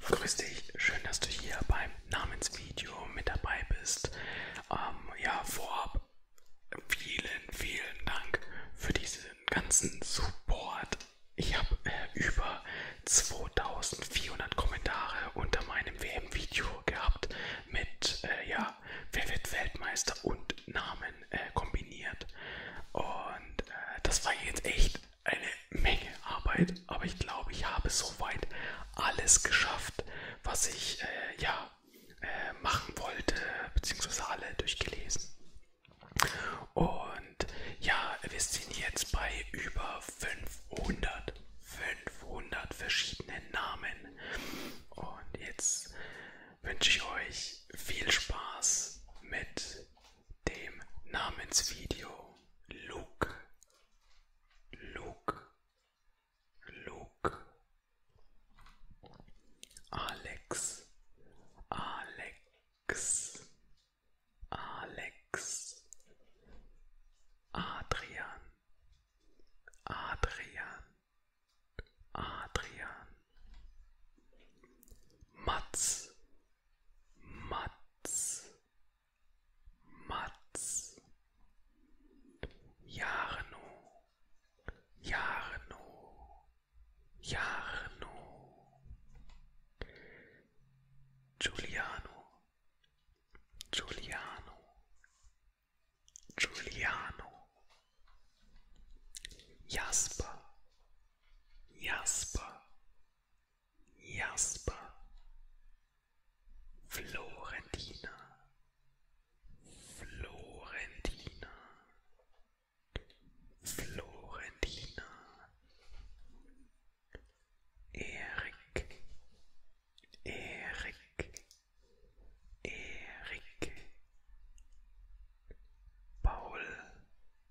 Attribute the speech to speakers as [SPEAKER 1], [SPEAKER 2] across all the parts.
[SPEAKER 1] Grüß dich, schön, dass du hier beim Namensvideo mit dabei bist. Ähm, ja, vorab vielen, vielen Dank für diesen ganzen Support. Ich habe äh, über 2400 Kommentare unter meinem WM-Video gehabt mit, äh, ja, wer wird Weltmeister
[SPEAKER 2] und Namen äh, kombiniert. Und äh, das war jetzt echt eine Menge Arbeit,
[SPEAKER 1] aber ich glaube, ich habe soweit alles geschafft, was ich äh, ja, äh, machen wollte, beziehungsweise alle durchgelesen. Und ja, wir sind jetzt bei über 500, 500 verschiedenen Namen. Und jetzt wünsche ich euch viel Spaß mit dem Namensvideo Luke, Luke, Luke, Alex, Alex, Alex, Adrian, Adrian, Adrian, Mats, Matz, Matz, Jarno, Jarno, Jarno, Giuliano, Giuliano, Giuliano, Jasper, Jasper, Jasper, Florentina, Florentina, Florentina, Eric, Eric, Eric, Paul,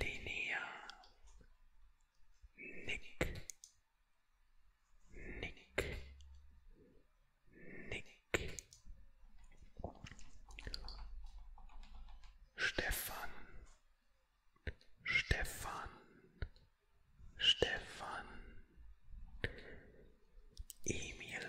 [SPEAKER 1] Linia Nick Nick Nick Stefan Stefan Stefan Emil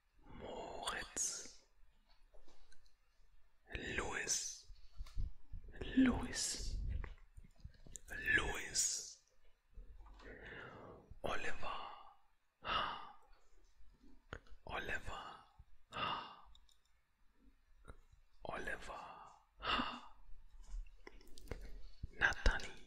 [SPEAKER 1] Moritz, Louis, Louis, Louis, Oliver, ha. Oliver, ha. Oliver, ha. Natalie,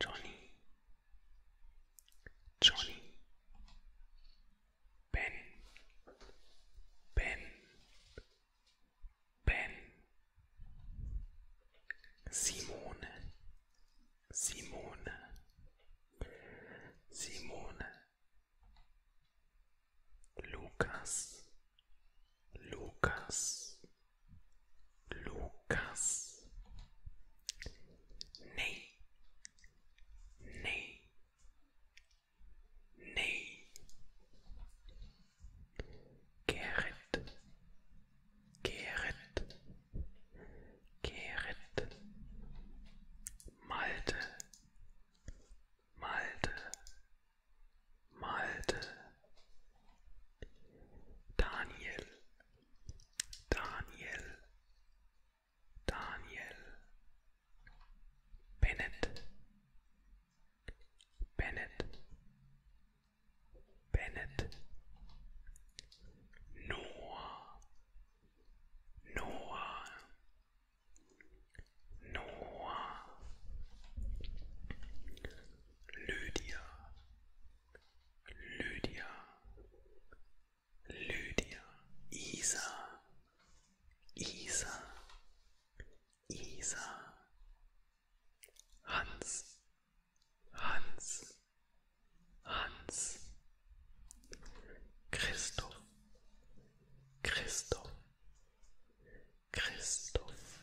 [SPEAKER 1] Johnny, Johnny, Ben, Ben, Ben, Simone, Simone, Simone, Lukas, Lukas, Lucas. Nee. Nee. Nee. Gerrit. Gerrit. Gerrit. Malte. Malte. Malte. Daniel. Daniel Daniel Bennett Bennett Bennett Noah Noah Noah Lydia Lydia, Lydia, Isa, Isa, Isa, Hans, Hans, Hans, Christoph, Christoph, Christoph,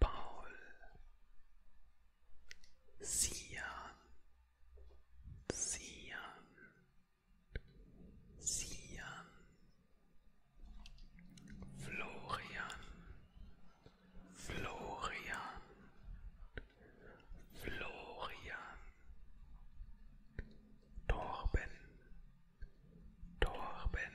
[SPEAKER 1] Paul, Sian, Sian, Sian, Florian, Florian, Florian, Torben, Torben,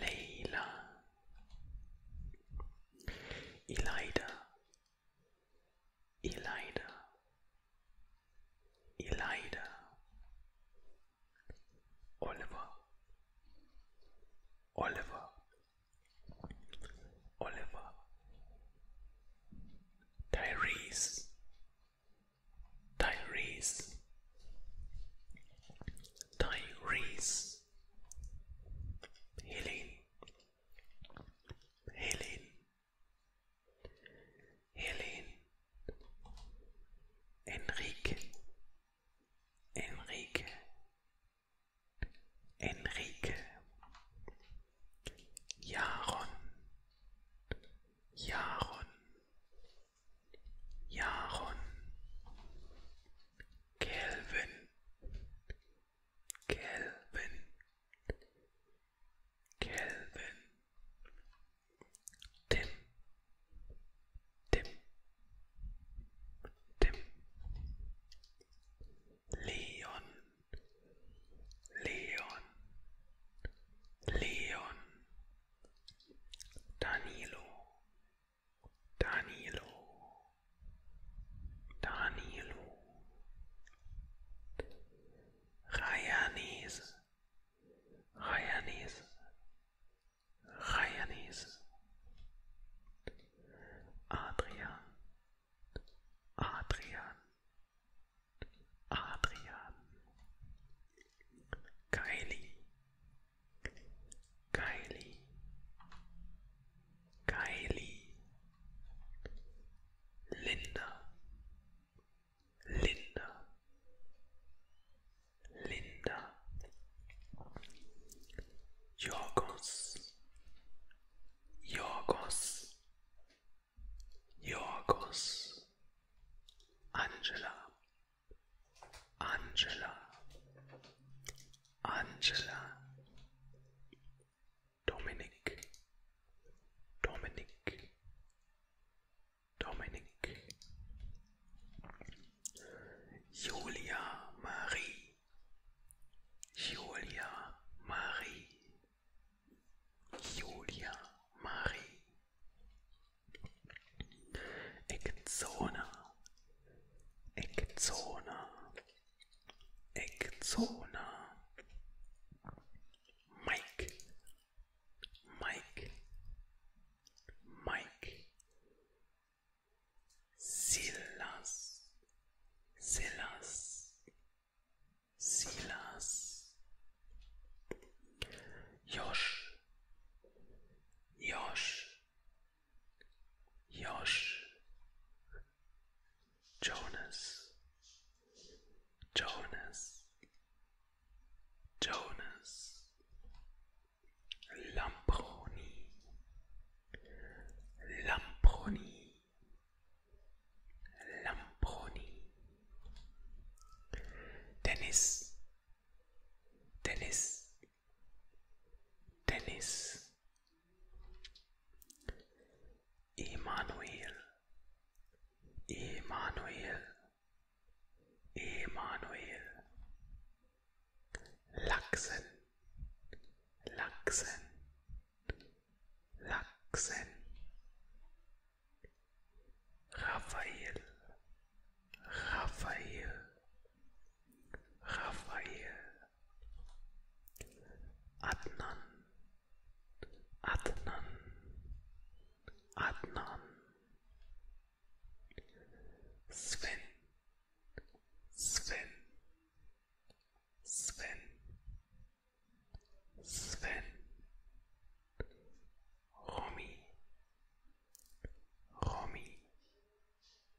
[SPEAKER 1] Leila, Elida, Elida, Elida, Oliver, Oliver, Oliver, Tyrese, Tyrese, Tyrese. ist Helene. Helene. Helene. Enrique. Enrique. Enrique. Jaron. Jaron. Jaron. Kelvin, Kelvin, Kelvin, Tim, Tim, Tim, Leon, Leon, Leon, Danilo, Danilo, Danilo, Rayanese, Rayanese, Rayanese, Adrian, Adrian, Adrian, Kylie, Kylie, Kylie, Linda, Linda, Linda, Yorgos, Yorgos, Yorgos, Angela. Angela, Angela, Dominik, Dominik, Dominik, Julia Marie, Julia Marie, Julia Marie. Eckzone, Eckzone, Eckzone. Mike, Mike, Mike. Silas, Silas, Silas. Josh, Josh. Josh, Jonas, Jonas, Jonas, Lamproni, Lambroni Lamproni, Dennis, Dennis. Dennis, Emanuel, Emanuel, Emanuel, Laksen, Laksen, Laksen, Raphael, Raphael. Raphael, Adnan, Adnan, Adnan, Sven, Sven, Sven, Sven, Romy, Romy,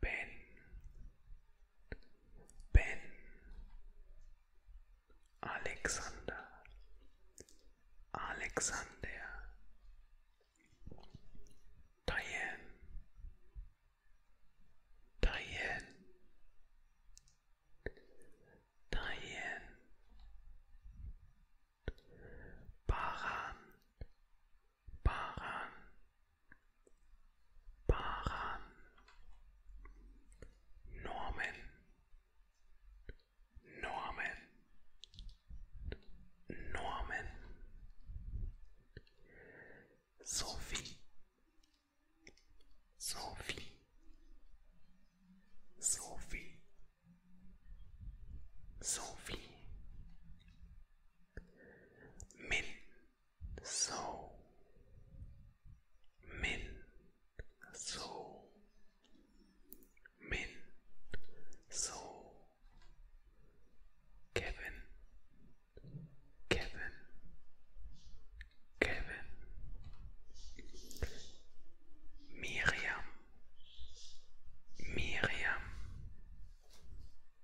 [SPEAKER 1] Ben Ben Alexander Alexander Diane Diane Diane Baran Paran, Paran, Norman, Norman, Norman, Sophie, Sophie, Sophie, Sophie, Min. so min so min so kevin kevin kevin miriam miriam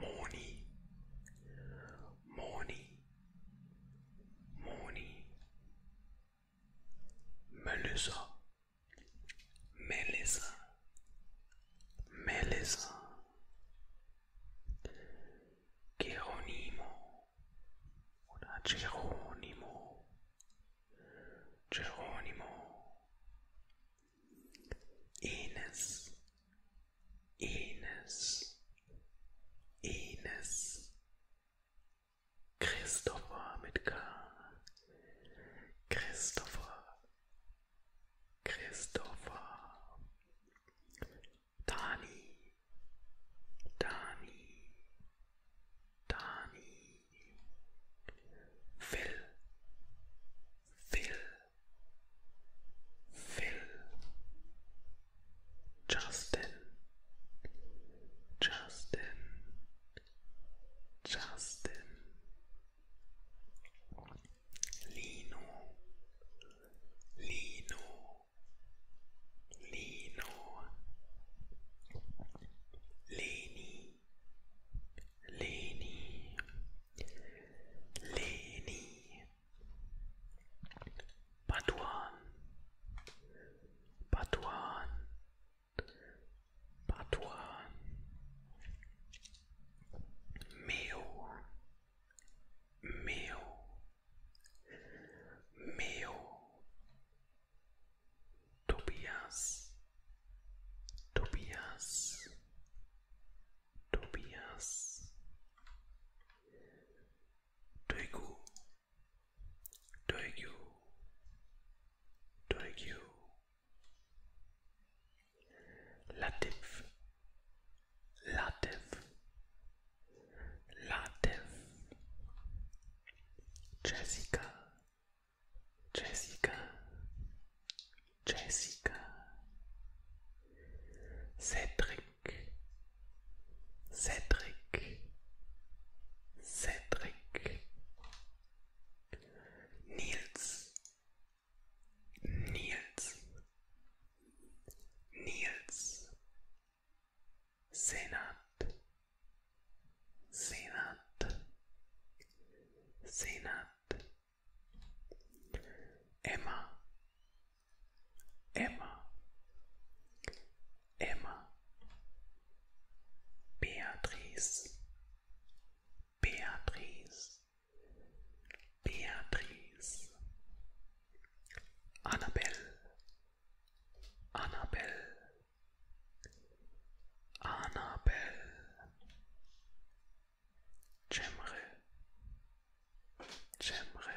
[SPEAKER 1] Morning, morning, morning. Melissa, Melissa, Melissa. Geronimo oder Geronimo, Geronimo, Enes, Enes, Enes, Christopher mit K, Christopher, Christopher, Dani, Dani, Dani, Phil, Phil. Phil, Justin, Justin, Justin, Lino, Lino, Lino, Leni, Leni, Leni. Batuan, Batuan, Batuan, Meo, Meo, Meo, Tobias, Tobias, Tobias, Toigu, Toigu, Toigu, Latif, Latif, Latif, Jessica, Jessica, Jessica, Cedric, Cedric, Cedric, Niels, Niels, Niels, Senat, Senat, Senat. Emma, Emma, Emma, Beatrice, Beatrice, Beatrice, Annabelle, Annabelle, Annabelle, Cemre, Cemre,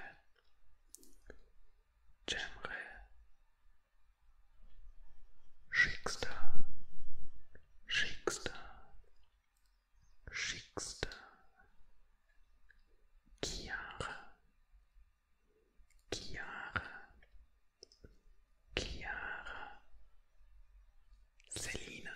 [SPEAKER 1] Cemre, Schicksal, Schicksal, Schicksal, Chiara, Chiara, Chiara, Selina.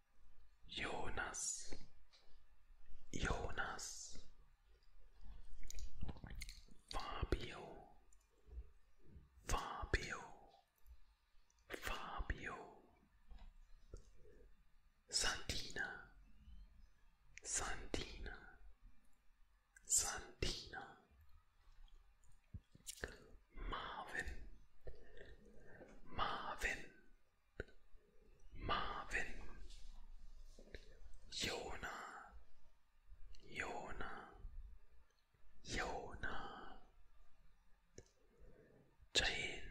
[SPEAKER 1] Jonas Jonas Fabio Fabio Fabio Santina Santina Santina Marvin, Marvin, Marvin, Jona, Jona, Jona, Jane,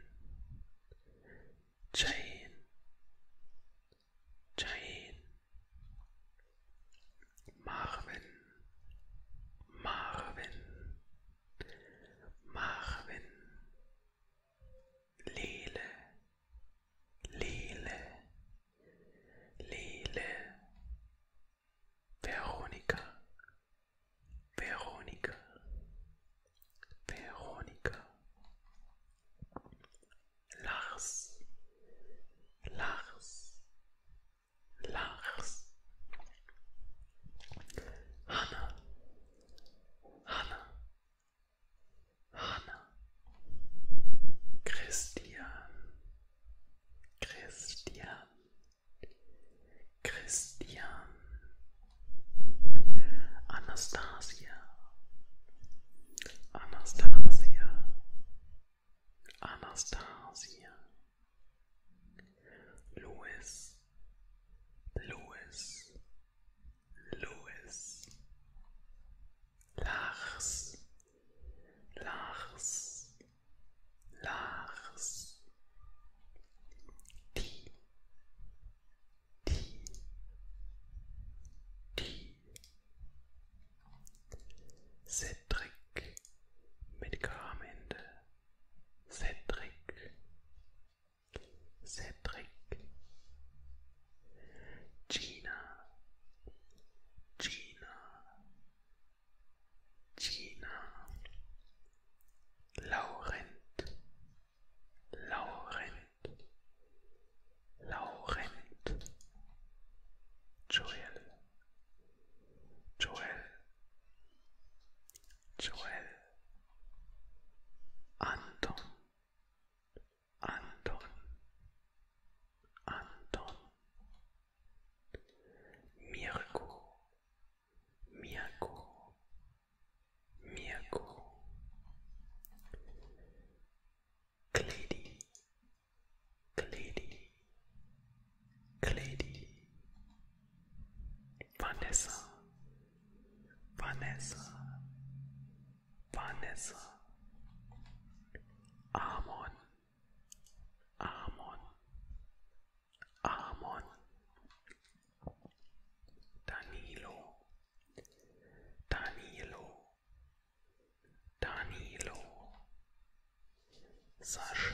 [SPEAKER 1] Jane, Jane, Marvin, Marvin, Marvin, Lele, Lele, Lele, Veronica, Veronica, Veronica, Lars, Lars, Lars. Hanna. Hanna. Hanna. Christian. Christian. Christian. Anastasia. Anastasia. Anastasia. Louis, Louis, Louis, Lars, Lars, Lars, die, die, die, Cedric mit Kramende, Cedric, Cedric, Gina, Gina, Gina, Laurent, Laurent, Laurent, Joel, Joel, Joel, Anton, Anton, Anton, Mirko, Mirko, Mirko, Clady, Clady, Clady, Vanessa, Vanessa, Vanessa, Amon, Amon, Amon, Danilo, Danilo, Danilo, Sasha.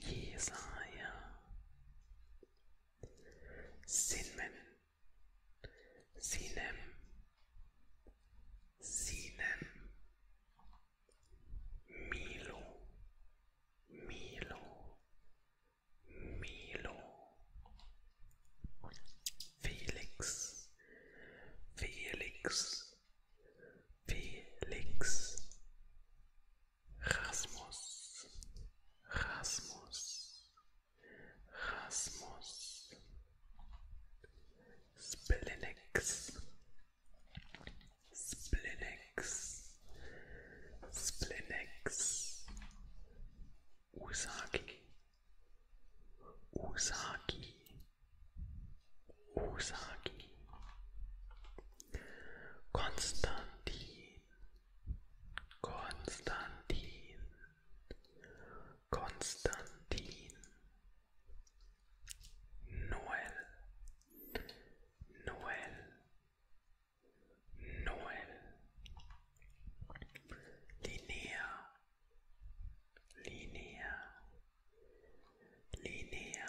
[SPEAKER 1] Jesaja, Sinnen, Sinem, Sinem, Milo, Milo, Milo, Felix, Felix. Felix Rasmus Rasmus Rasmus Splinix Splinix Splinix Usagi Usagi Usagi Konstantin, Konstantin, Konstantin, Noel, Noel, Noel, Linnea, Linnea, Linnea,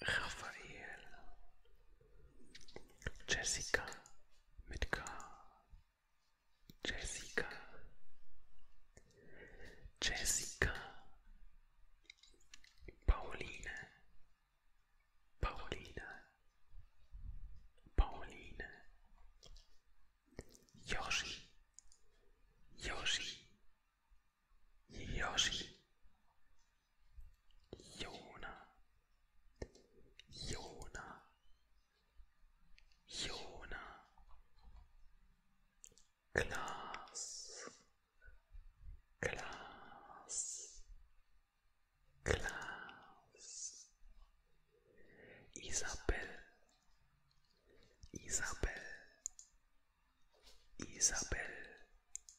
[SPEAKER 1] Raphael, Jessica mit K, Jessica, Jessica, Pauline, Pauline, Pauline, Yoshi, Yoshi, Yoshi. y una y una y una Glass Glass Glass Isabel Isabel Isabel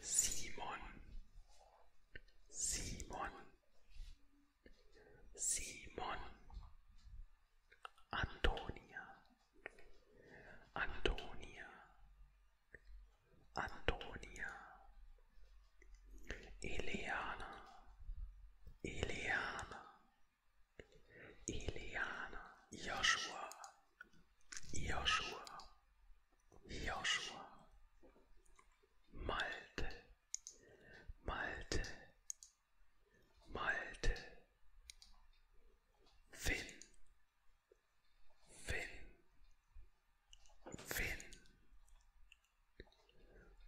[SPEAKER 1] Simon, Simon, Simon, Antonia, Antonia, Antonia, Eliana, Eliana, Eliana, Joshua. Joshua, Joshua, Malte, Malte, Malte, Finn, Finn, Finn,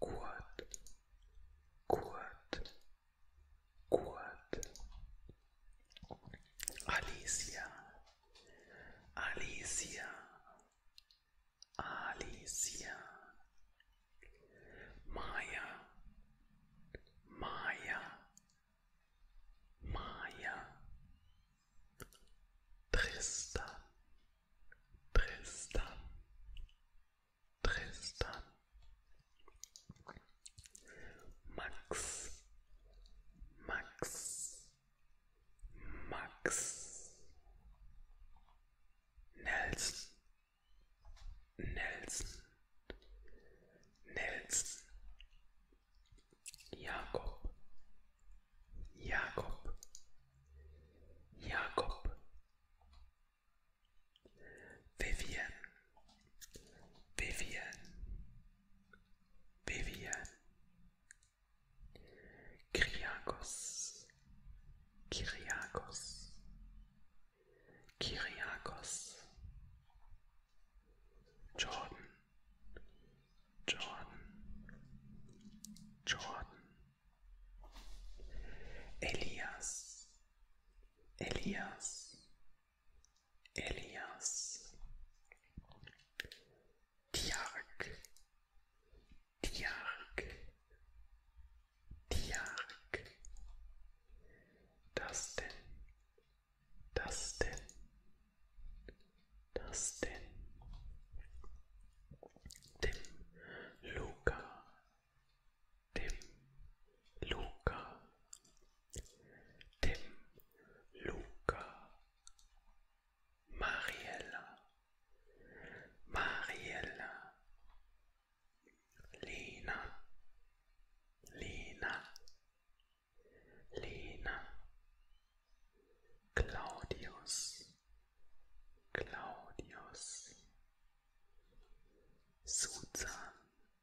[SPEAKER 1] Kurt, Kurt, Kurt, Alicia, Alicia, Alicia, Maya, Maya, Maya, Tristan, Tristan, Tristan. Max, Max, Max, Nelson, Nelson, Nelson, Jacob. Jacob. Jacob. Vivian. Vivian, Vivian, Kyriakos, Kyriakos, Kyriakos, Jordan, Jordan, Jordan, Elias, Elias, Elias, Tjark, Tjark, Tjark, das denn, das denn, das denn, dem Luca, dem Luca, Tim, Luca, Mariella, Mariella, Lina, Lena, Lena, Claudius, Claudius, Susan,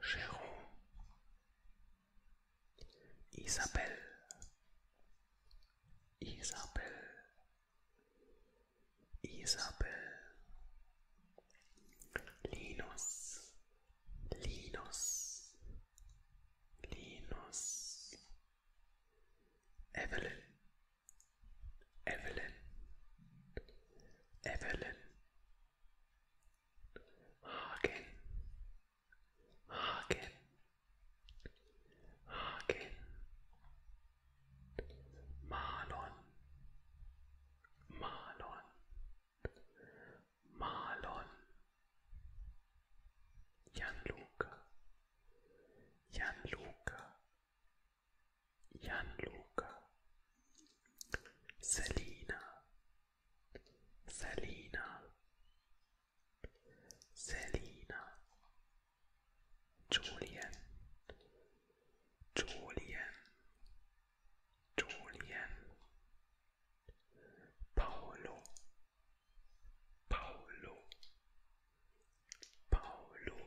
[SPEAKER 1] Jérôme, Isabelle, Isabelle, Isabelle, Linus, Linus, Linus, Evelyn, Evelyn, Evelyn, Hagen, Hagen, Hagen, Marlon, Marlon, Marlon, Gianluca, Gianluca, Gianluca, Selina, Selina, Selina, Julian, Julian, Julian, Paulo, Paulo, Paolo,